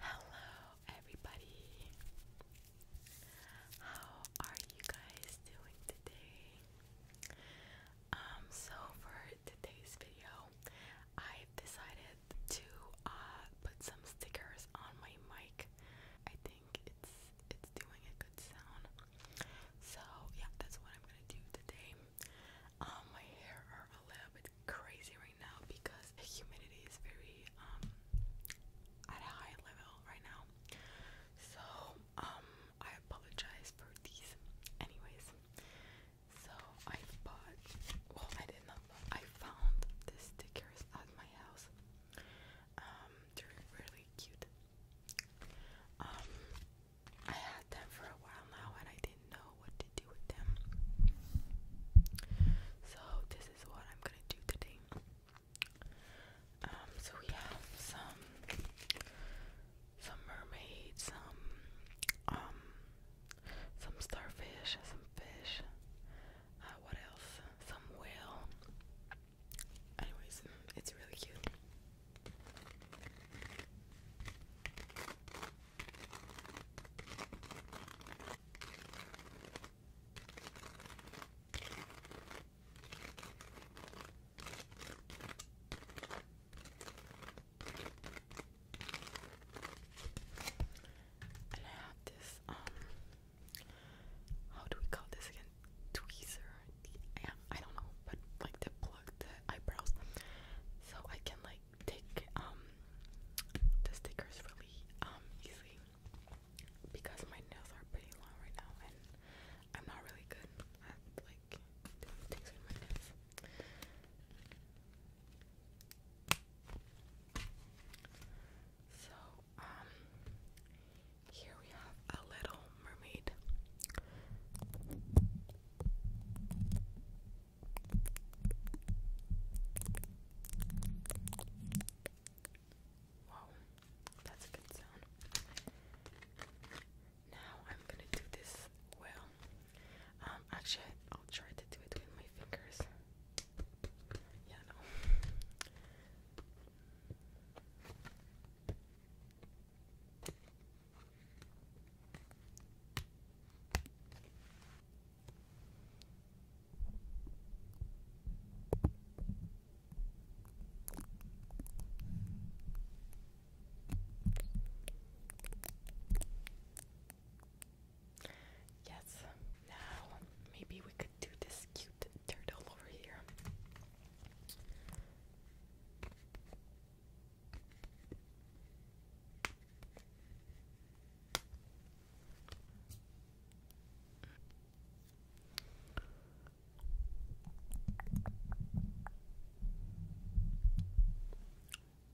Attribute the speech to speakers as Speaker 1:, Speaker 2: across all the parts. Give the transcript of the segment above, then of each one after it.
Speaker 1: Hello, everybody. How are you guys doing today? Um, so for today's video, I've decided to uh, put some stickers on my mic. I think it's it's doing a good sound. So yeah, that's what I'm gonna do today. Um, my hair are a little bit crazy right now because the humidity is very um at a high level right now. So um, I apologize for these. Anyways, so I bought. Well, I did not. Buy, I found the stickers at my house. Um, they're really cute. Um, I had them for a while now and I didn't know what to do with them. So this is what I'm gonna do today. Um, so we have some some mermaids, some um some starfish, some fish, uh, what else? Some whale. Anyways, it's really cute. And I have this, um, how do we call this again? Tweezer yeah, I don't know, but like to pluck the eyebrows, so I can like take um the stickers really um easy because my nails are pretty long right now, and I'm not really good at like doing my nails. So um here we have a little mermaid. Wow, that's a good sound. Now I'm gonna do this well. Um, actually, I'll try to do it with my fingers. Yeah, no. Yes, now maybe we could do this cute dirt all over here.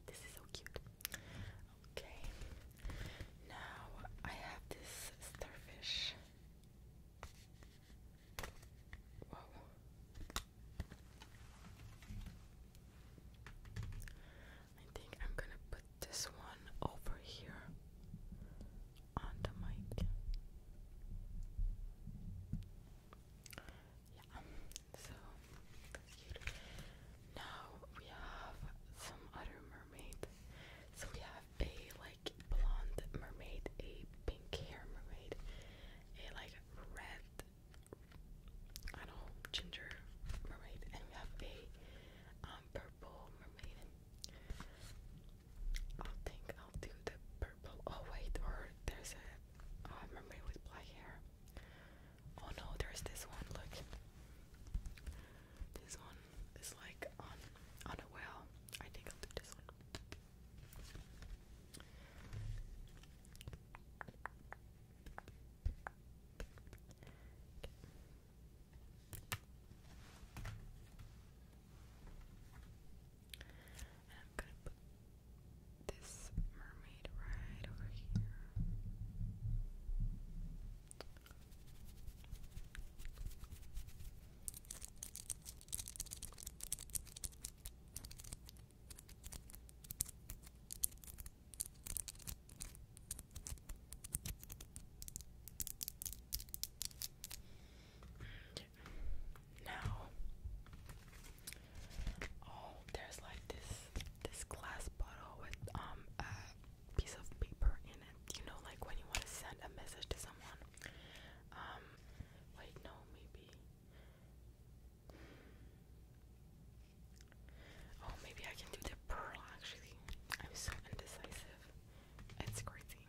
Speaker 1: This is so cute. Okay, now I have this starfish I think I'm gonna put this one over here on the mic. Yeah, so Now we have some other mermaid. So we have a like blonde mermaid, a pink hair mermaid, a like red, I don't know, ginger mermaid, and we have a um, purple mermaid. I think I'll do the purple. Oh wait, or there's a uh, mermaid with black hair. Oh no, there's this one. Look, this one is like on on a well. I think I'll do this one. I'm gonna put this mermaid right over here. Now, oh, there's like this this glass bottle with um piece of paper in it. You know, like when you want to send a message to someone. Um, wait, no, maybe. Oh, maybe I can do the pearl actually. I'm so indecisive. It's crazy.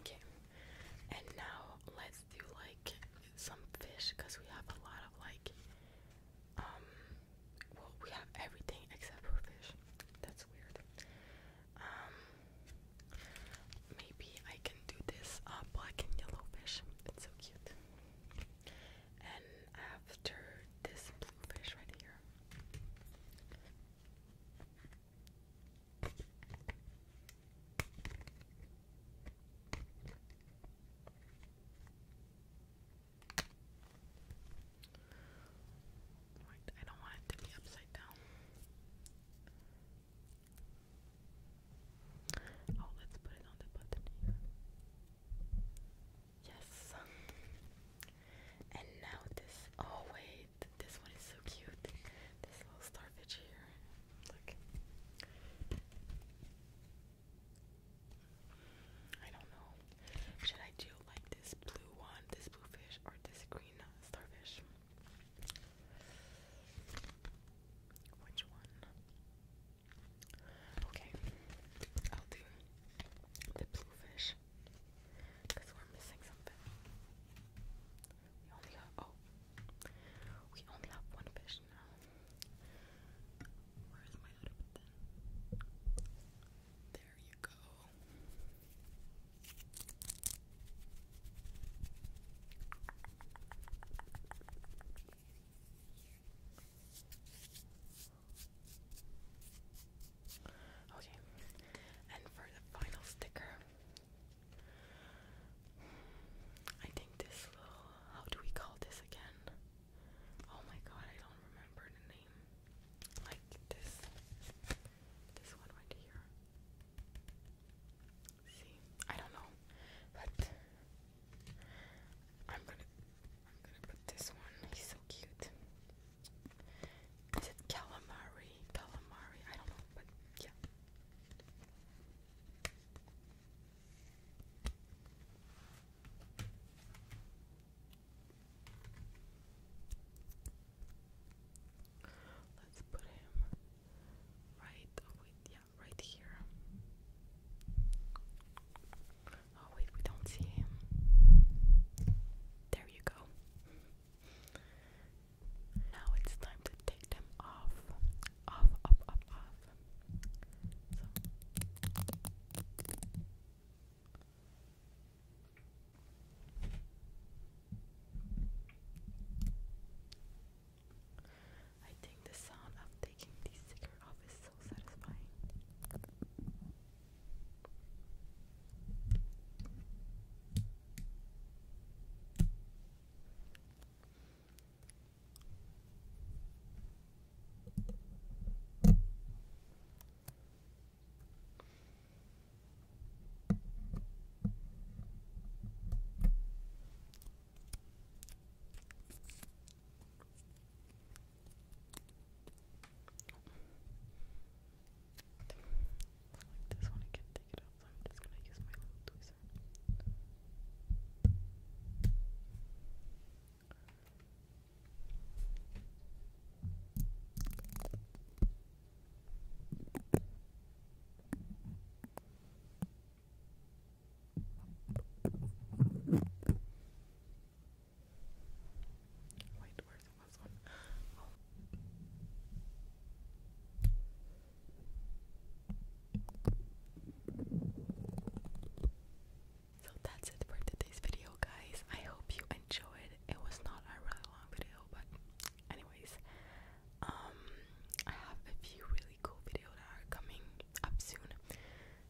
Speaker 1: Okay, and now let's do like some fish because we have a lot of like, um, well, we have everything except for fish that's um, maybe I can do this uh, black and yellow fish. It's so cute. And after this blue fish right here. I don't want it to be upside down. Oh, let's put it on the button here. Yes. And now this. Oh, wait. This one is so cute. This little starfish here. Look. I don't know. Should I do like this blue one, this blue fish, or this green starfish? Which one? Okay, I'll do the blue fish because we're missing something. We only have oh, we only have one fish now. Where's my other button? There you go. Okay, and for the final sticker, I think this little, how do we call this again? Oh my god, I don't remember the name. Like this, this one right here. See, I don't know, but I'm gonna, I'm gonna put this one. He's so cute. Is it calamari? Calamari? I don't know, but yeah. Let's put him right oh wait, yeah, right here. Oh wait, we don't see him. There you go. Now it's time to take them off off, off, I think the sound of taking the sticker off is so satisfying. Like this one, I can take it off, so I'm just gonna use my little twist this. Wait, where's the last one? Oh. So that's it for today's video, guys. I hope you enjoyed. It was not a really long video, but anyways, um, I have a few really cool videos that are coming up soon.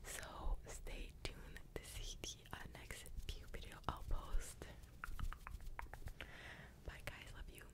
Speaker 1: So stay tuned to see the uh, next few video I'll post. Bye, guys. Love you.